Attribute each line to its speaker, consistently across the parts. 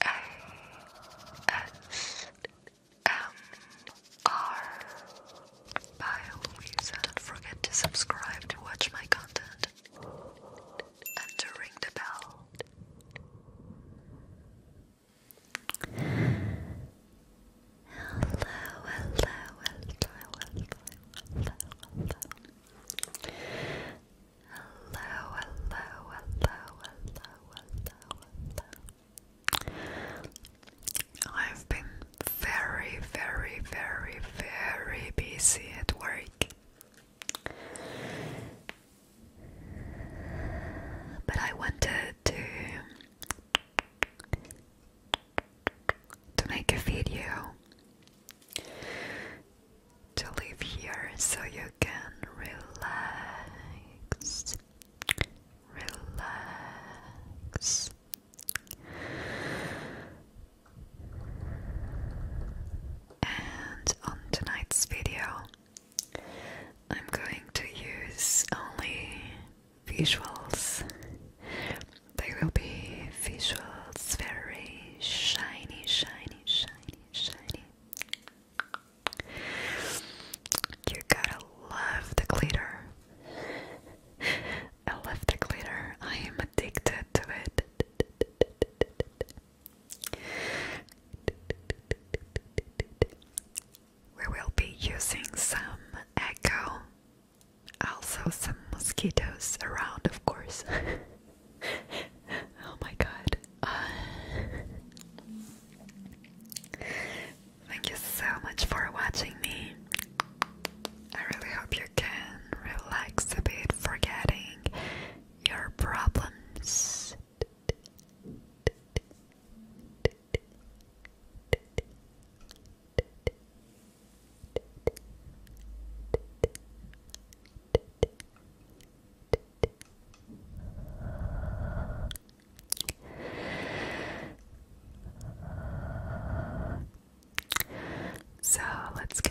Speaker 1: by always don't forget to subscribe to watch my content and to ring the bell. hello, hello, hello, hello hello, hello, hello, hello, hello. I've been very, very, very, very busy at work. But I wanted to to make a video to live here so you can relax, relax. And on tonight's video, I'm going to use only visuals. They will be visuals, very shiny, shiny, shiny, shiny, you gotta love the glitter. I love the glitter. I am addicted to it. We will be using some echo, also some mosquitoes around, of course. oh my god. Uh, thank you so much for watching me. I really hope you can relax a bit, forgetting your problems. So let's go.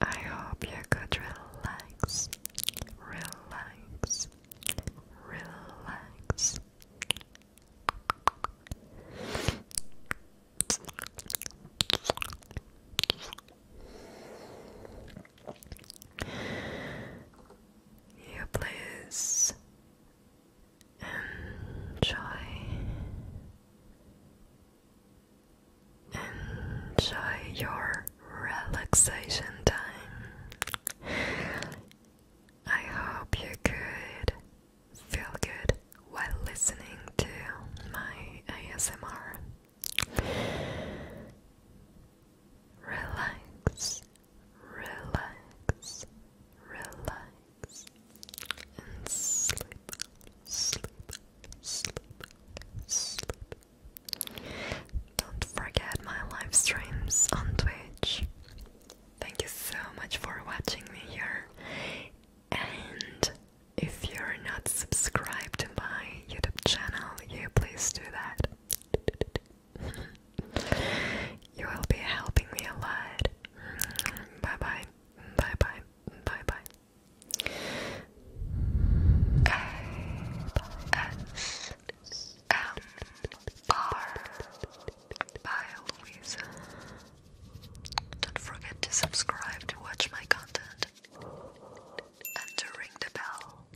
Speaker 1: I hope you could relax, relax, relax. You please enjoy Enjoy your relaxation time. I hope you could feel good while listening to my ASMR. Relax, relax, relax sleep, sleep, sleep, Don't forget my live streams on Twitch. Thank you so much for watching me here. And if you're not subscribed to my YouTube channel, you please do that. you will be helping me a lot. Bye bye. Bye bye. Bye bye. S M R by Louisa. Don't forget to subscribe to watch my content and to ring the bell.